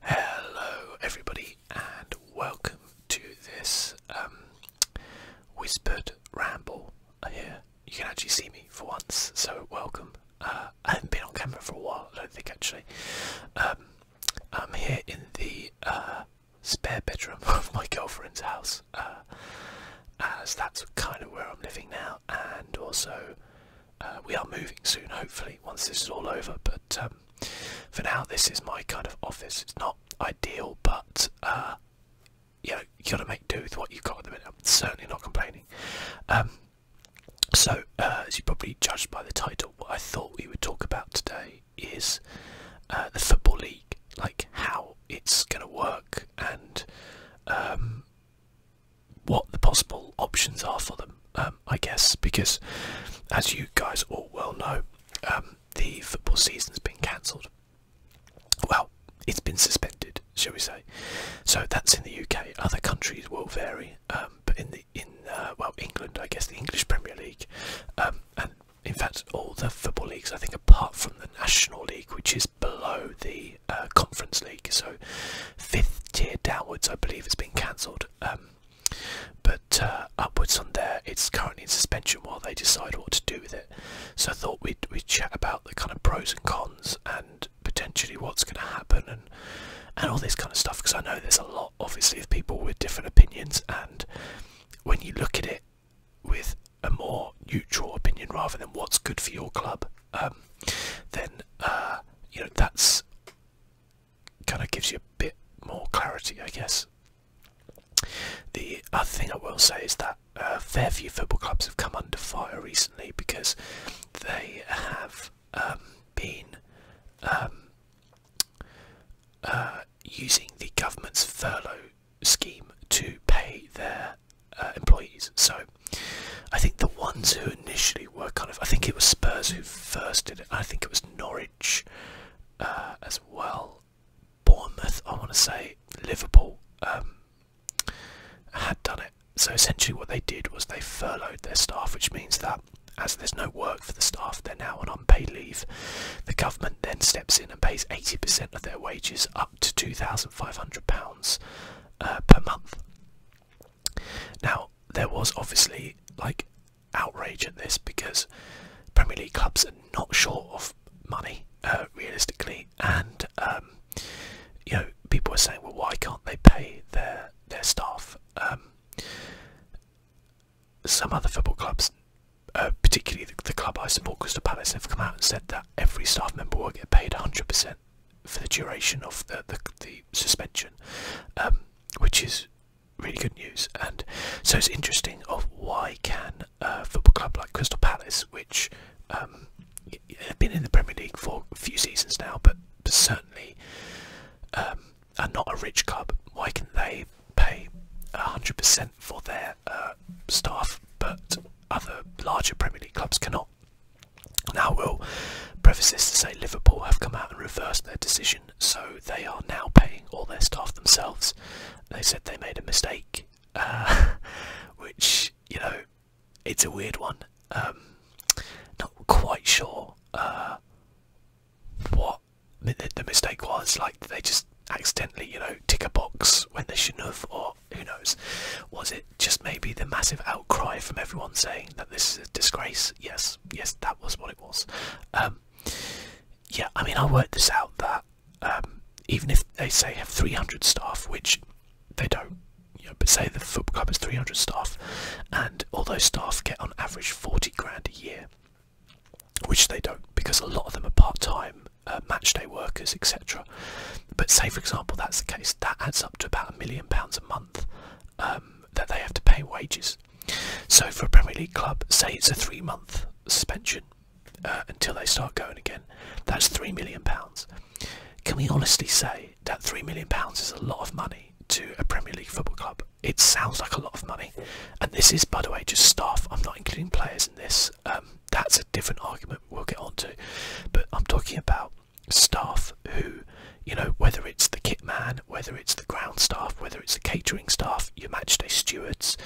Hello, everybody, and welcome to this um, whispered ramble here. You can actually see me for once, so welcome. Uh, I haven't been on camera for a while, I don't think actually. Um, I'm here in the uh, spare bedroom of my girlfriend's house, uh, as that's kind of where I'm living now, and also uh, we are moving soon, hopefully, once this is all over. But um, for now, this is my kind of office. It's not ideal, but uh, you know, got to make do with what you've got at the minute. I'm certainly not complaining. Um, so, uh, as you probably judged by the title, what I thought we would talk about today is uh, the Football League, like how it's going to work and um, what the possible options are for them, um, I guess, because as you guys all well know, um, the football season's been cancelled. Well, it's been suspended, shall we say? So that's in the UK. Other countries will vary, um, but in the in uh, well England, I guess the English Premier League, and in fact all the football leagues, I think, apart from the National League, which is below the uh, Conference League, so fifth tier downwards, I believe, has been cancelled. But uh, upwards on there, it's currently in suspension while they decide what to do with it. So I thought we'd, we chat about the kind of pros and cons and potentially what's going to happen and and all this kind of stuff because I know there's a lot obviously of people with different opinions and when you look at it with a more neutral opinion rather than what's good for your club um, then uh, you know that's kind of gives you a bit more clarity, I guess. The other thing I will say is that a uh, fair few football clubs have come under fire recently because they have um, been um, uh, using the government's furlough scheme to pay their uh, employees. So I think the ones who initially were kind of. I think it was Spurs who first did it. I think it was Norwich uh, as well. Bournemouth, I want to say, Liverpool um, had done it. So essentially, what they did was they furloughed their staff, which means that as there's no work for the staff, they're now on unpaid leave. The government then steps in and pays 80% of their wages up to £2,500 uh, per month. Now, there was obviously like outrage at this because Premier League clubs are not short of money, uh, realistically, and um, you know people are saying, well, why can't they pay their their staff? Um, some other football clubs, uh, particularly the, club I support, Crystal Palace, have come out and said that every staff member will get paid 100% for the duration of the the, suspension, um, which is really good news. And so it's interesting of why can a football club like Crystal Palace, which um, have been in the Premier League for a few seasons now, but certainly um, are not a rich club, why can they pay 100% for their uh, staff, but other larger Premier League clubs cannot? Now, we will preface this to say Liverpool have come out and reversed their decision so they are now paying all their staff themselves. They said they made a mistake, uh, which, you know, it's a weird one. Um, not quite sure uh, what the, mistake was. Like, they just accidentally, you know, tick a box when they shouldn't have, or who knows? Was it just maybe the massive outcry from everyone saying that this is a disgrace? Yes, Yes, that was what it was. Um, yeah, I mean, I worked this out that um, even if they say have 300 staff, which they don't, but say the football club has 300 staff, and all those staff get on average 40 grand a year, which they don't because a lot of them are part time, uh, match day workers, etc. But say, for example, that's the case, that adds up to about a million pounds a month um, that they have to pay wages. So for a Premier League club, say it's a three-month suspension uh, until they start going again. That's three million pounds. Can we honestly say that three million pounds is a lot of money to a Premier League football club? It sounds like a lot of money, and this is, by the way, just staff. I'm not including players in this. Um, that's a different argument we'll get on to. but I'm talking about staff who you know, whether it's the kit man, whether it's the ground staff, whether it's the catering staff, your matchday stewards,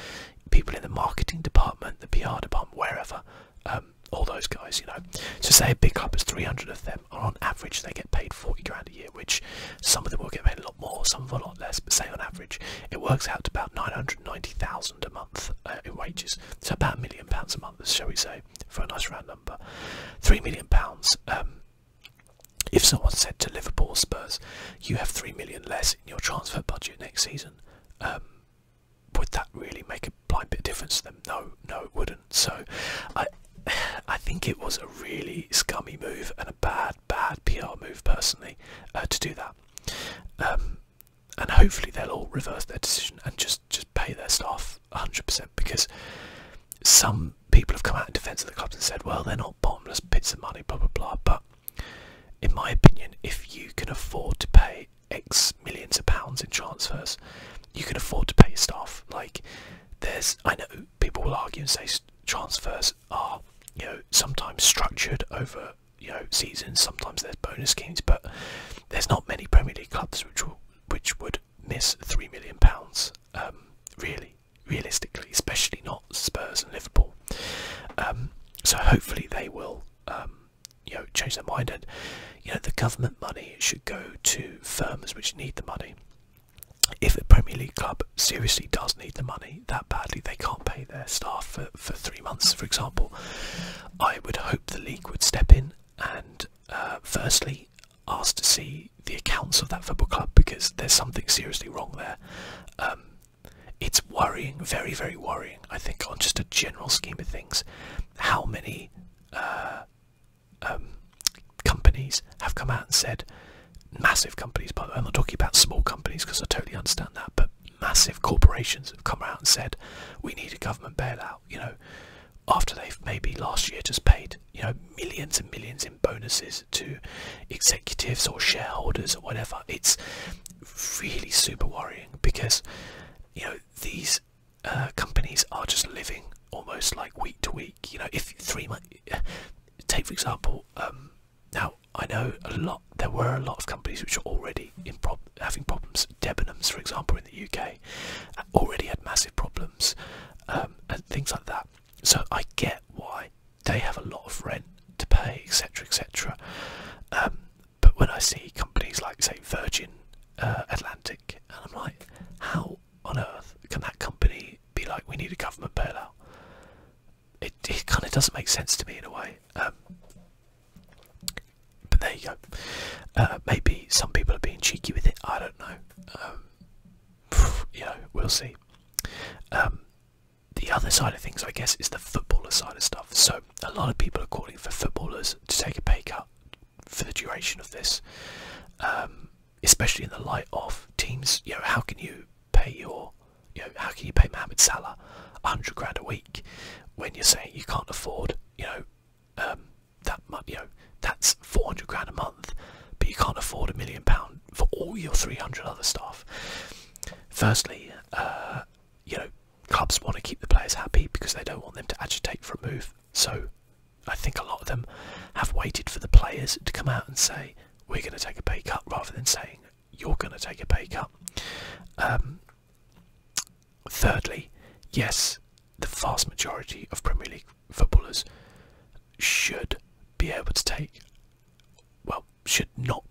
people in the marketing department, the PR department, wherever, um, all those guys, you know. So say a big club has 300 of them, and on average they get paid 40 grand a year, which some of them will get paid a lot more, some of them a lot less, but say on average it works out to about 990,000 a month uh, in wages. So about a million pounds a month, shall we say, for a nice round number. Three million pounds um, if someone said to Liverpool Spurs, you have three million less in your transfer budget next season, um, would that really make a blind bit of difference to them? No, no, it wouldn't. So, I, I think it was a really scummy move and a bad, bad PR move personally uh, to do that. Um, and hopefully they'll all reverse their decision and just just pay their staff 100% because some people have come out in defence of the clubs and said, well, they're not bottomless pits of money, blah, blah, blah. But in my opinion, if you can afford to pay X millions of pounds in transfers, you can afford to pay staff. Like, there's, I know people will argue and say transfers are, you know, sometimes structured over, you know, seasons, sometimes there's bonus schemes, but there's not many Premier League clubs which which would miss three million pounds, um, really realistically, especially not Spurs and Liverpool. Um, so hopefully they will, um, you know, change their mind and you know the government money should go to firms which need the money. If a Premier League club seriously does need the money that badly, they can't pay their staff for, for three months, for example, I would hope the league would step in and uh, firstly asked to see the accounts of that football club because there's something seriously wrong there. Um, it's worrying, very, very worrying, I think, on just a general scheme of things, how many uh, um, companies have come out and said, massive companies, by the way, I'm not talking about small companies because I totally understand that, but massive corporations have come out and said, we need a government bailout, you know, after they've maybe last year just paid you know millions and millions in bonuses to executives or shareholders or whatever. It's really super worrying because you know these uh, companies are just living almost like week to week. You know, if three months, take for example. Um, now I know a lot. There were a lot of companies which are already having problems. Debenhams, for example, in the UK, uh, already had massive problems um, and things like that. So I get why they have a lot of rent to pay, etc., etc. Um, but when I see companies like, say, Virgin uh, Atlantic, and I'm like, how on earth can that company be like, we need a government bailout? It, kind of doesn't make sense to me in a way. Um, but there you go. Uh, maybe some people are being cheeky with it. I don't know. Um, you know, we'll see. Um, the other side of things, I guess, is the footballer side of stuff. So a lot of people are calling for footballers to take a pay cut for the duration of this, um, especially in the light of teams. You know, how can you pay your, you know, how can you pay Mohamed Salah hundred grand a week when you're saying you can't afford, you know, um, that much, you know, that's. 400 grand a month, but you can't afford a million pound for all your 300 other staff. Firstly, uh, you know, clubs want to keep the players happy because they don't want them to agitate for a move. So I think a lot of them have waited for the players to come out and say, we're going to take a pay cut rather than saying, you're going to take a pay cut. Um, thirdly, yes, the vast majority of Premier League footballers should be able to take, well, should not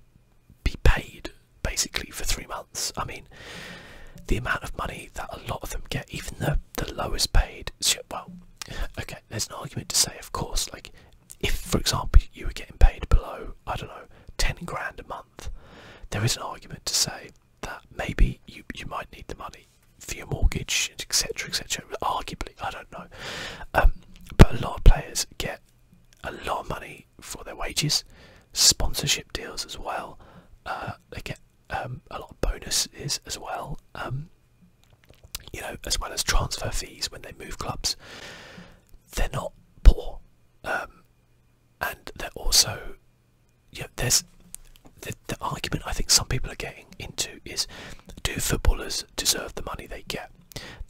be paid basically for three months. I mean, the amount of money that a lot of them get, even the, the lowest paid, well, okay, there's an argument to say, of course, like if, for example, you were getting paid below, I don't know, 10 grand a month, there is an argument to say that maybe you, you might need the money for your mortgage, etc., etc. Arguably, I don't know, um, but a lot of players get a lot of money for their wages, sponsorship deals as well. Uh, they get um, a lot of bonuses as well, um, you know, as well as transfer fees when they move clubs. They're not poor, and they're also, yeah. there's the argument I think some people are getting into is do footballers deserve the money they get?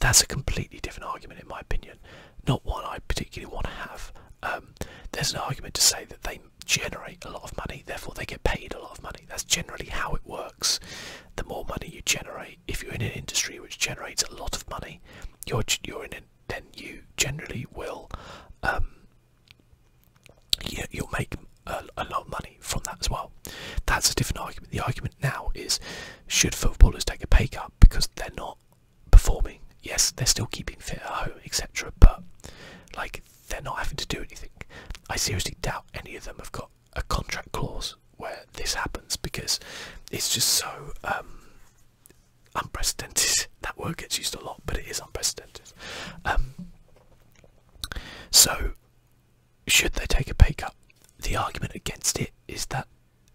That's a completely different argument, in my opinion. Not one I particularly want to have. Um, there's an argument to say that they generate a lot of money, therefore they get paid a lot of money. That's generally how it works. The more money you generate, if you're in an industry which generates a lot of money, you're you're in it, then you generally will. Um, you'll make a, lot of money from that as well. That's a different argument. The argument now is should footballers take a pay cut because they're not performing? Yes, they're still keeping fit etc. But like they're not having to do anything. I seriously doubt any of them have got a contract clause where this happens because it's just so um, unprecedented. That word gets used a lot, but it is unprecedented. Um, so should they take a pay cut? The argument against it is that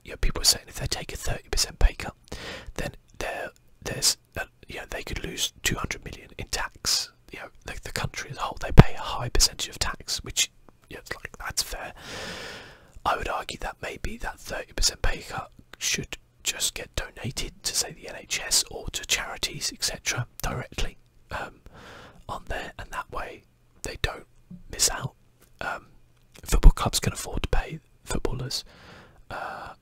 you people are saying if they take a 30% pay cut, then there, there's a, uh, they could lose 200 million in tax. You know, the, country as a whole they pay a high percentage of tax, which you like that's fair. I would argue that maybe that 30% pay cut should just get donated to say the NHS or to charities etc. directly. Um, on there, and that way they don't miss out. Um, football clubs can afford to pay footballers uh,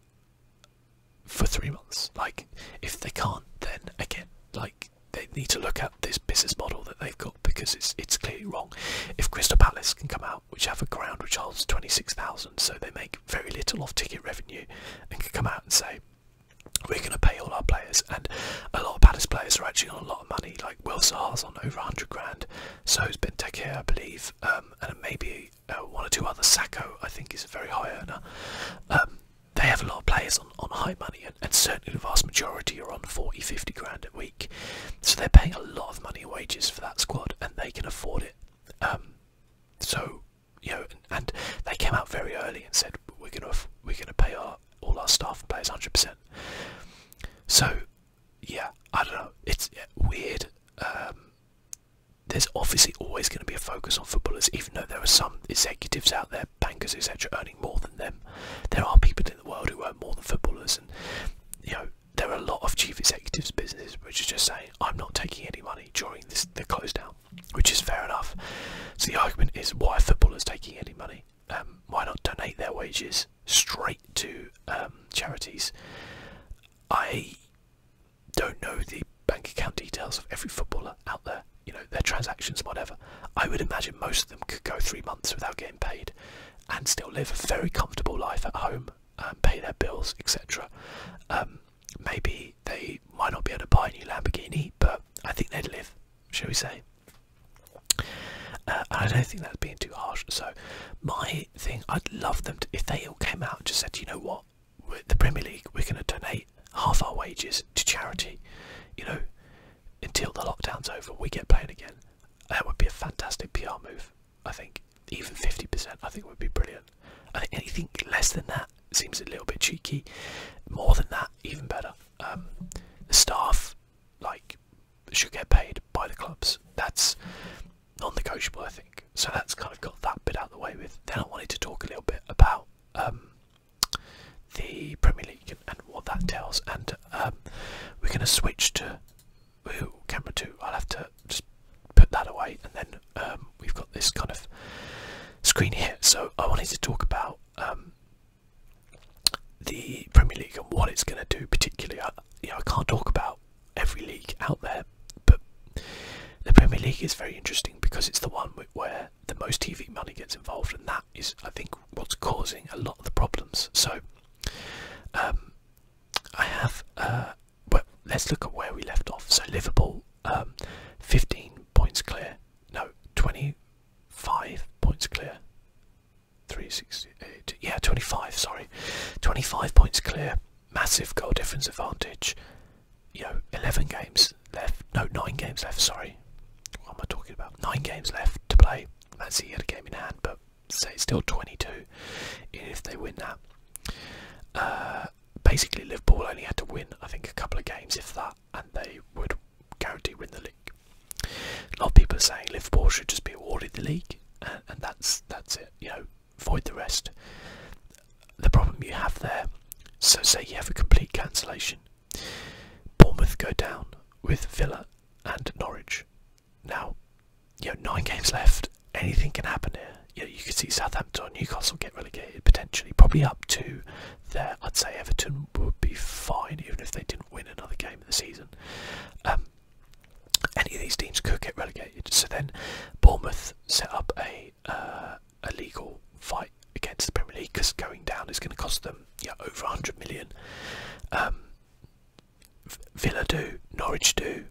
for three months. Like, if they can't, then again, like they need to look at this business model that they've got because it's it's clearly wrong. If Crystal Palace can come out, which have a ground which holds twenty six thousand, so they make very little off ticket revenue, and can come out and say, we're going to pay all our players, and a lot of Palace players are actually on a lot of money. Like Will Sahar's on over 100 grand, so has been Benteke, I believe, um, and maybe uh, one or two other. Sacco, I think, is a very high earner. Um, they have a lot of players on, high money, and, certainly the vast majority are on 40, 50 grand a week. So they're paying a lot of money wages for that squad, and they can afford it. Um, so you know, and, and, they came out very early and said we're gonna we're gonna pay our all our staff and players 100%. So, yeah, I don't know. It's weird. Um, there's obviously always going to be a focus on footballers, even though there are some executives out there, bankers, etc., earning more than them. There are people in the world who earn more than footballers, and you know there are a lot of chief executives' businesses which are just saying, "I'm not taking any money during this the closed down," which is fair enough. So the argument is, why are footballers taking any money? Um, why not donate their wages straight to um, charities? I don't know the bank account details of every footballer out there, you know, their transactions, whatever. I would imagine most of them could go three months without getting paid and still live a very comfortable life at home and um, pay their bills, etc. maybe they might not be able to buy a new Lamborghini, but I think they'd live, shall we say. Uh, I don't think that's being too harsh. So, my thing, I'd love them to, if they all came out and just said, you know what, the Premier League, we're going to donate half our wages to charity, you know, until the lockdown's over, we get playing again. That would be a fantastic PR move, I think. Even 50%, I think, would be brilliant. I think anything less than that seems a little bit cheeky. More than that, even better. Um, the staff like should get paid by the clubs. That's non-negotiable, I think. So that's kind of got that bit out of the way with. Then I wanted to talk a little bit about um, the Premier League and, what that tells, and um, we're going to switch to camera two. I'll have to just put that away, and then we've got this kind of screen here. So I wanted to talk about the Premier League and what it's going to do, particularly. I, you know, I can't talk about every league out there, but the Premier League is very interesting because it's the one where the most TV money gets involved, and that is, I think, what's causing a lot of the problems. So, um, I have. Uh, well, let's look at where we left off. So Liverpool, um, 15 points clear. No, 20 five points clear. 368, yeah, 25, sorry. 25 points clear, massive goal difference advantage. You know, 11 games left, no, 9 games left, sorry. What am I talking about? 9 games left to play. Man City had a game in hand, but say it's still 22 if they win that. Uh, basically, Liverpool only had to win, I think, a couple of games, if that and they would guarantee win the league. A lot of people are saying Liverpool should just be awarded the league, and, that's that's it. You know, void the rest. The problem you have there. So say you have a complete cancellation. Bournemouth go down with Villa and Norwich. Now, you have nine games left. Anything can happen here. You, know, you could see Southampton, Newcastle get relegated potentially, probably up to there. I'd say Everton would be fine even if they didn't win another game of the season. Um, any of these teams could get relegated. So then Bournemouth set up a, uh, a legal fight against the Premier League because going down is going to cost them yeah, over 100 million. Um, Villa do, Norwich do,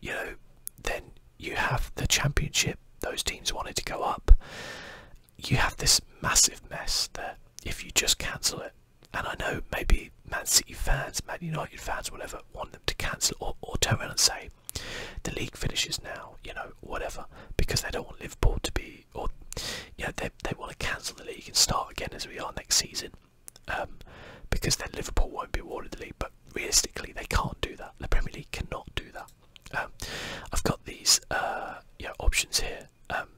you know, then you have the Championship. Those teams wanted to go up you have this massive mess that if you just cancel it, and I know maybe Man City fans, Man United fans, whatever, want them to cancel or, or turn around and say the league finishes now, you know, whatever, because they don't want Liverpool to be, or, you know, they, they want to cancel the league and start again as we are next season, um, because then Liverpool won't be awarded the league, but realistically, they can't do that. The Premier League cannot do that. Um, I've got these uh, options here um,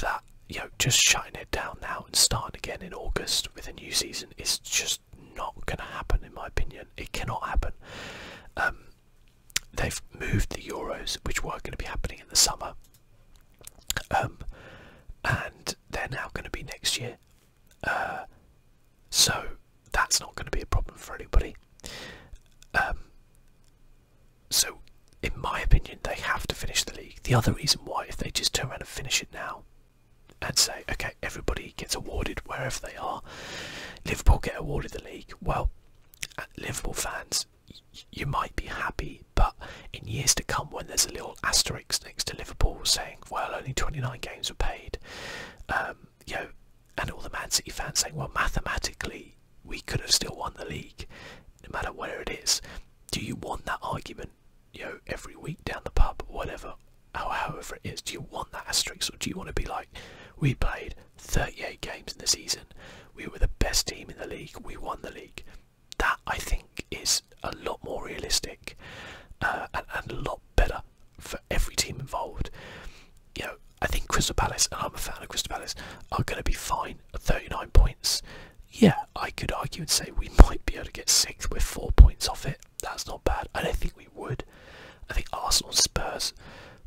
that you know, just shutting it down now and starting again in August with a new season is just not going to happen, in my opinion. It cannot happen. Um, they've moved the Euros, which were going to be happening in the summer, um, and they're now going to be next year. Uh, so that's not going to be a problem for anybody. So, in my opinion, they have to finish the league. The other reason why, if they just turn around and finish it now and say, okay, everybody gets awarded wherever they are, Liverpool get awarded the league, well, uh, Liverpool fans, you might be happy, but in years to come, when there's a little asterisk next to Liverpool saying, well, only 29 games were paid, um, you and all the Man City fans saying, well, mathematically, we could have still won the league, no matter where it is. Do you want that argument, you every week down the pub, whatever, or however it is? Do you want that asterisk, or do you want to be like, we played 38 games in the season, we were the best team in the league, we won the league? That, I think, is a lot more realistic uh, and, a lot better for every team involved. You I think Crystal Palace, and I'm a fan of Crystal Palace, are going to be fine at 39 points. Yeah, I could argue and say we might be able to get sixth with four points off it. That's not bad. I don't think we would. I think Arsenal, Spurs,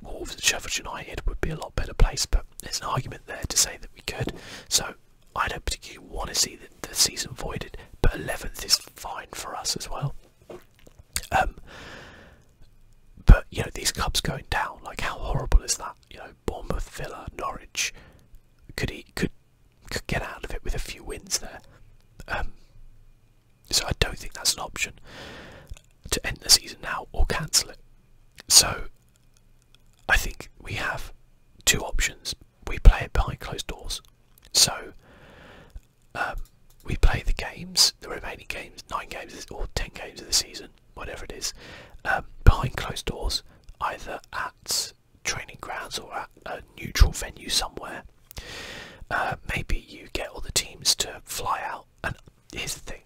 Wolves, and Sheffield United would be a lot better place, but there's an argument there to say that we could. So I don't particularly want to see the, the season voided, but 11th is fine for us as well. Um, but you know these clubs going down, like how horrible is that? You know Bournemouth, Villa, Norwich could he could could get out of it with a few wins there. Um, so I don't think that's an option to end the season now or cancel it. So I think we have two options. We play it behind closed doors. So um, we play the games, the remaining games, nine games or ten games of the season, whatever it is, um, behind closed doors, either at training grounds or a neutral venue somewhere. Uh, maybe you get all the teams to fly out. And here's the thing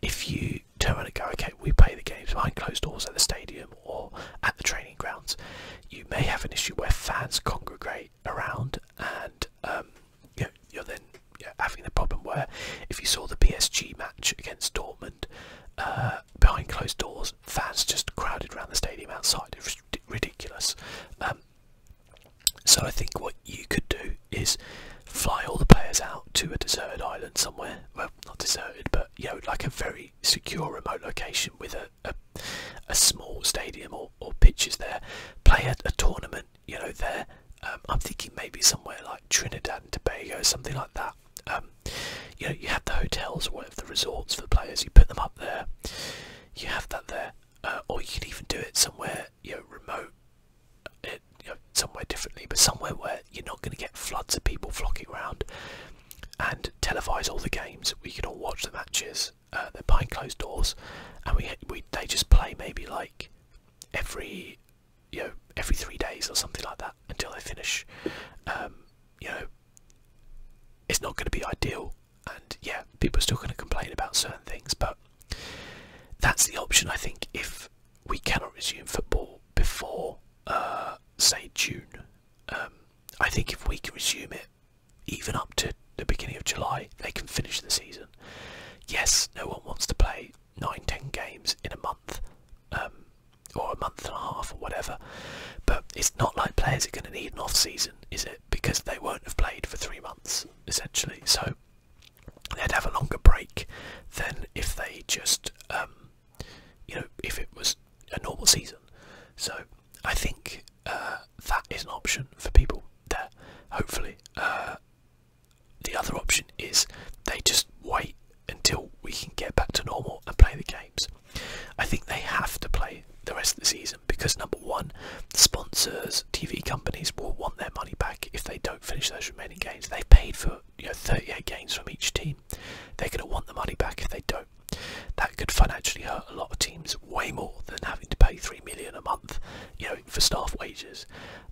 if you turn around and go, okay, we play the games behind closed doors at the stadium or at the training grounds, you may have an issue where fans congregate around and um, you are then having the problem where if you saw the PSG match against Dortmund uh, behind closed doors, fans just crowded around the stadium outside. It's ridiculous. Um, so I think what you could do is fly all the players out to a deserted island somewhere. Well, not deserted, but you know, like a very secure remote location with a a, small stadium or, or pitches there. Play a tournament you know, there. Um, I'm thinking maybe somewhere like Trinidad and Tobago, something like that. Um, you know, you have the hotels or whatever the resorts for the players. You put them up there. You have that there, uh, or you can even do it somewhere you know remote, uh, somewhere differently, but somewhere where you're not going to get floods of people flocking around. And televises all the games. We can all watch the matches. Uh, they're behind closed doors, and we we they just play maybe like every you know every three days or something like that until they finish. Um, you know, it's not going to be ideal, and yeah, people are still going to complain about certain things, but that's the option I think if we cannot resume football before uh, say June. Um, I think if we can resume it even up to the beginning of July, they can finish the season. Yes, no one wants to play like nine, ten games in a month, um, or a month and a half, or whatever. But it's not like players are going to need an off season, is it? Because they won't have played for three months essentially, so they'd have a longer break than if they just, um, you know, if it was a normal season. So I think uh, that is an option for people that Hopefully, uh, the other option is they just wait until we can get back to normal and play the games. I think they have to play the rest of the season because number one, sponsors, TV companies will want their money back if they don't finish those remaining games. They have paid for you know 38 games from each team. They're going to want the money back if they don't. That could financially hurt a lot of teams way more than having to pay three million a month, you know, for staff wages.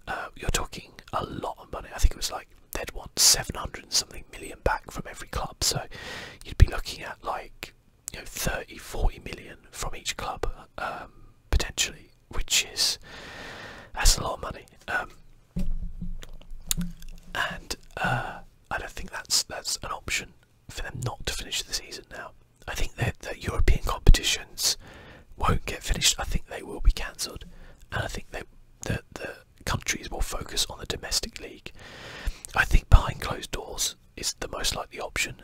Uh, you're talking a lot of money. I think it was like they'd want 700 something million back from every club, so you'd be looking at like you know 30, 40 million from each club um, potentially, which is that's a lot of money. Um, and uh, I don't think that's that's an option for them not to finish the season now. I think that European competitions won't get finished. I think they will be cancelled, and I think that the countries will focus on the domestic league. I think behind closed doors is the most likely option.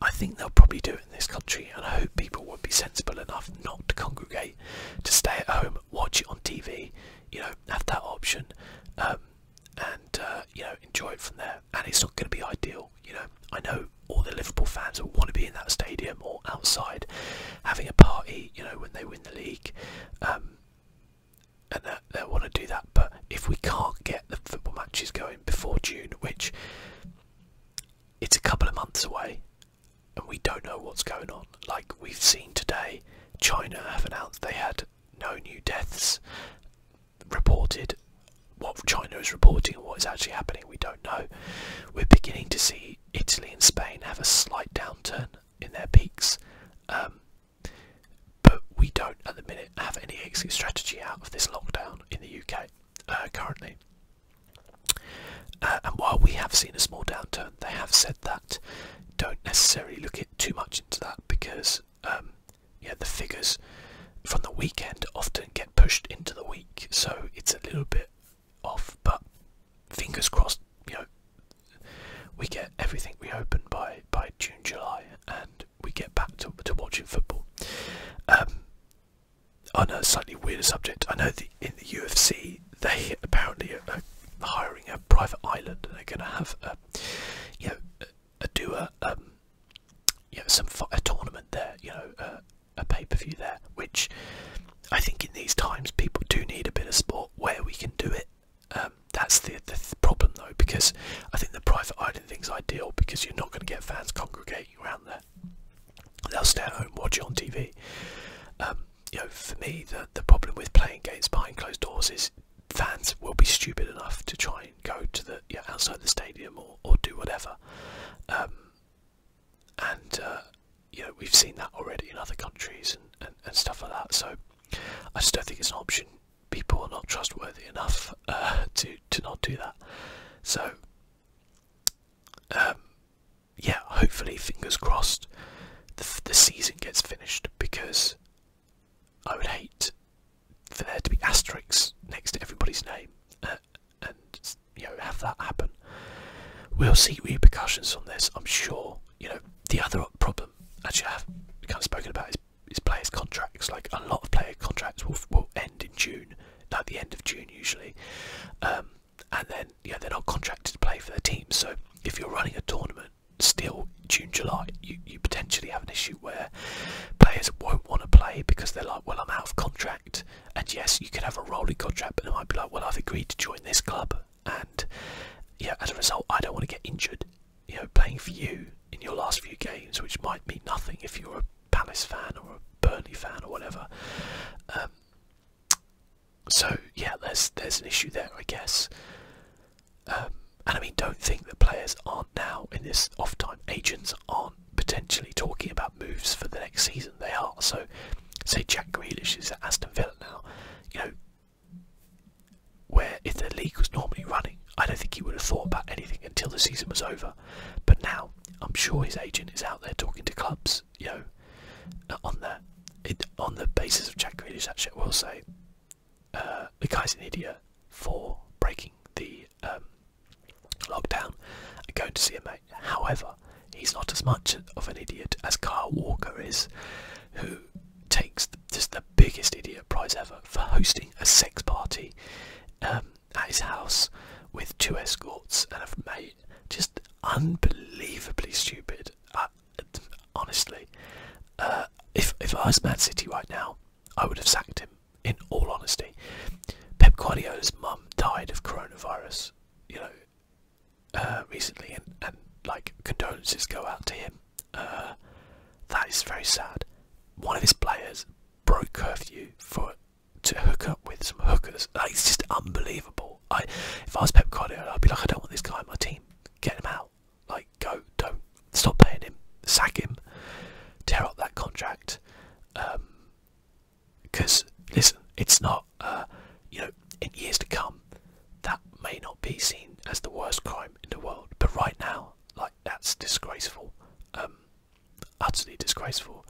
I think they'll probably do it in this country, and I hope people will be sensible enough not to congregate, to stay at home, watch it on TV, you know, have that option, um, and uh, you know, enjoy it from there. And it's not going to be ideal, you know. I know all the Liverpool fans will want to be in that stadium or outside having a party, you know, when they win the league. Um, and they want to do that. But if we can't get the football matches going before June, which it's a couple of months away, and we don't know what's going on. Like we've seen today, China have announced they had no new deaths reported. What China is reporting what is actually happening we don't know. We're beginning to see Italy and Spain have a slight downturn in their peaks, um, but we don't at the minute have any exit strategy out of this lockdown in the UK uh, currently. Uh, and while we have seen a small downturn, they have said that don't necessarily look it too much into that because um, yeah, the figures from the weekend often get pushed into the week, so it's a little bit off, but fingers crossed, you know, we get everything reopened by by June, July, and we get back to to watching football. Um, on a slightly weirder subject, I know that in the UFC they apparently are hiring a private island, and they're going to have, a, you know, do a um, you know, some a tournament there, you know, uh, a pay-per-view there, which I think in these times people do need a bit of sport where we can do it. Um, that's the, the problem though, because I think the private island thing's ideal because you're not going to get fans congregating around there. They'll stay at home, watch it on TV. Um, you know, for me, the the problem with playing games behind closed doors is fans will be stupid enough to try and go to the outside the stadium or, or do whatever. Um, and uh, we've seen that already in other countries and, and, stuff like that. So I just don't think it's an option. People are not trustworthy enough uh, to to not do that. So um, yeah, hopefully, fingers crossed, the, the season gets finished because I would hate for there to be asterisks next to everybody's name. Uh, and you know have that happen. We'll see repercussions on this, I'm sure. You know, the other problem, as you have kind of spoken about, is, is players' contracts. Like a lot of player contracts will will end in June, like the end of June usually, um, and then you they're not contracted to play for their team. So if you're running a tournament still June, July, you, you potentially have an issue where players won't want to play because they're like, well, I'm out of contract. And yes, you could have a rolling contract, but it might be like, well, I've agreed to join this club, and you as a result, I don't want to get injured. You know, playing for you in your last few games, which might mean nothing if you're a Palace fan or a Burnley fan or whatever. Um, so yeah, there's there's an issue there, I guess. Um, and I mean, don't think that players aren't now in this off time. Agents aren't potentially talking about moves for the next season. They are. So, say Jack Grealish is at Aston Villa now, you know, where if the league was normally running, I don't think he would have thought about anything until the season was over. But now, I'm sure his agent is out there talking to clubs, you know, uh, on the, on the basis of Jack Grealish, actually, I will say, uh, the guy's an idiot for breaking the um, lockdown going to see a mate. However, he's not as much of an idiot as Carl Walker is, who takes just the biggest idiot prize ever for hosting a sex party um, at his house with two escorts and a mate. Just unbelievably stupid. Uh, honestly, uh, if if I was Man City right now, I would have sacked him. In all honesty, Pep Guardiola's mum died of coronavirus. You know, uh, recently, and, like condolences go out to him. Uh, that is very sad. One of his players broke curfew for to hook up with some hookers. Like, it's just unbelievable. I, if I was Pep Guardiola, I'd be like, I don't want this guy on my team. Get him out. Like, go, don't stop paying him, sack him, tear up that contract. Um, because listen, it's not uh, you know in years to come that may not be seen as the worst crime in the world, but right now, like that's disgraceful, um, utterly disgraceful,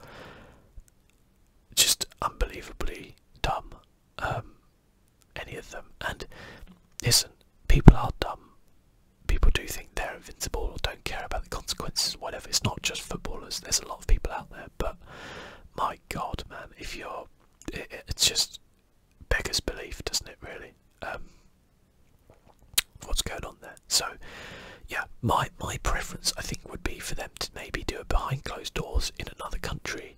just unbelievably dumb. Um, any of them, and listen, people are dumb. People do think they're invincible or don't care about the consequences, whatever. It's not just footballers. There's a lot of people out there but my God, man, if you're, it's just beggars belief, doesn't it? Really, um, what's going on there? So, yeah, my my preference, I think, would be for them to maybe do it behind closed doors in another country,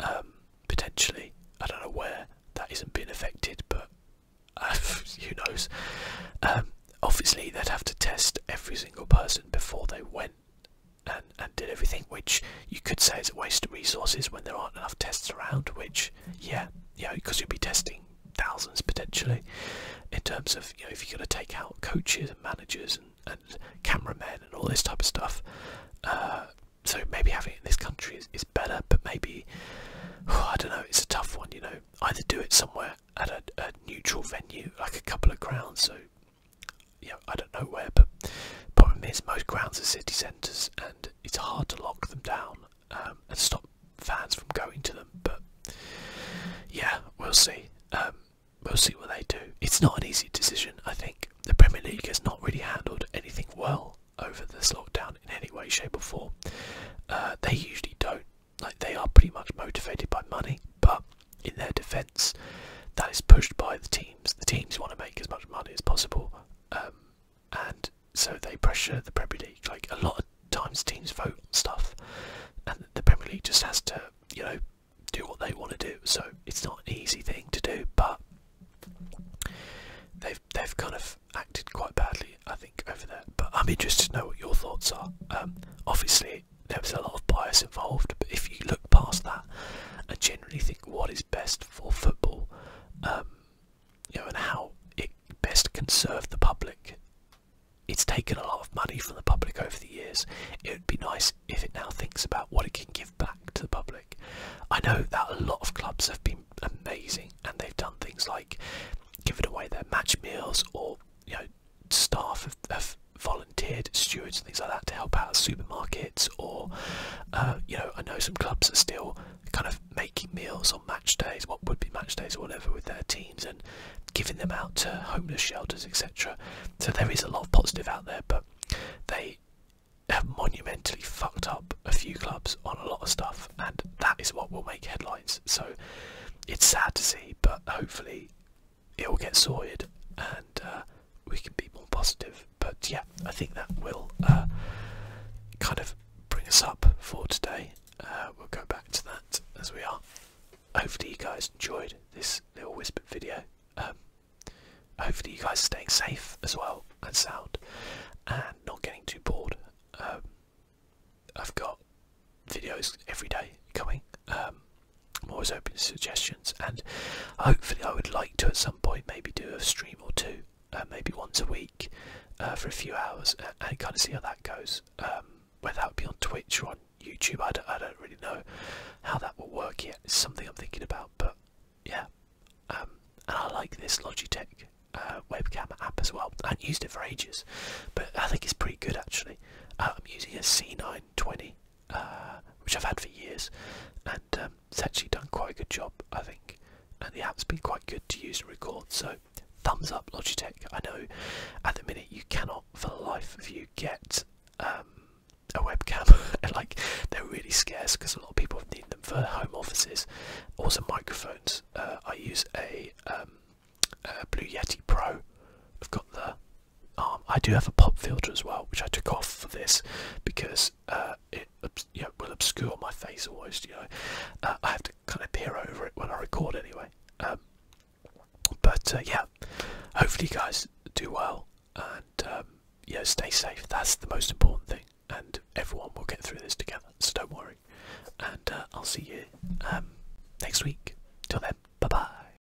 um, potentially. I don't know where that isn't being affected, but who knows? Um, obviously, they'd have to test every single person before they went and and, did everything, which you could say is a waste of resources when there aren't enough tests around. Which, yeah, yeah, because you'd be testing thousands potentially. In terms of you know, if you're going to take out coaches and managers and, and cameramen and all this type of stuff, uh, so maybe having it in this country is, better. But maybe I don't know. It's a tough one, you know. Either do it somewhere at a neutral venue, like a couple of grounds, so yeah, I don't know where, but problem is most grounds are city centres and it's hard to lock them down um, and stop fans from going to them. But yeah, we'll see. Um, we'll see what they do. It's not an easy decision, I think. The Premier League has not really handled anything well over this lockdown in any way, shape, or form. Uh, they usually don't. Like they are pretty much motivated by money, but in their defence, that is pushed by the teams. The teams want to make as much money as possible, um, and so they pressure the Premier League. Like a lot of times, teams vote stuff, and the Premier League just has to, you know, do what they want to do. So it's not an easy thing to do, but they've they've kind of acted quite badly, I think, over there. But I'm interested to know what your thoughts are. Um, obviously, right, there was a lot of bias involved, but if you look past that and generally think what is best for football, um, you know, and how it best can serve the public, it's taken a lot of money from the public over the years. It would be nice if it now thinks about what it can give back to the public. I know that a lot of clubs have been amazing and they've done things like giving away their match meals or you know staff have, volunteered stewards and things like that to help out supermarkets or uh, you know I know some clubs are still kind of making meals on match days what would be match days or whatever with their teams and giving them out to homeless shelters etc so there is a lot of positive out there but they have monumentally fucked up a few clubs on a lot of stuff and that is what will make headlines so it's sad to see but hopefully it will get sorted and uh, we can be more positive. But yeah, I think that will uh, kind of bring us up for today. Uh, we'll go back to that as we are. Hopefully, you guys enjoyed this little whispered video. Um, hopefully, you guys are staying safe as well and sound and not getting too bored. Um, I've got videos every day coming. Um, I'm always open to suggestions, and hopefully, I would like to at some point maybe do a stream or two, uh, maybe once a week uh, for a few hours, and kind of see how that goes. Um, whether that would be on Twitch or on YouTube, I don't, really know how that will work yet. It's something I'm thinking about, but yeah. Um, and I like this Logitech uh, webcam app as well. I have used it for ages, but I think it's pretty good actually. I'm using a C9 920, uh, which I've had for years, and um, it's actually done quite a good job, I think. And the app's been quite good to use and record, so thumbs up Logitech. I know at the minute you cannot, for the life of you, get um, a webcam, like they're really scarce because a lot of people need them for home offices. Also, microphones. Uh, I use um, a Blue Yeti Pro. I've got the um, I do have a pop filter as well, which I took off for this because uh, it you will obscure my face almost. You know, uh, I have to kind of peer over it when I record anyway. Um, but uh, yeah, hopefully you guys do well and um, stay safe. That's the most important thing, and everyone will get through this together. So don't worry, and I'll see you um, next week. Till then, bye bye.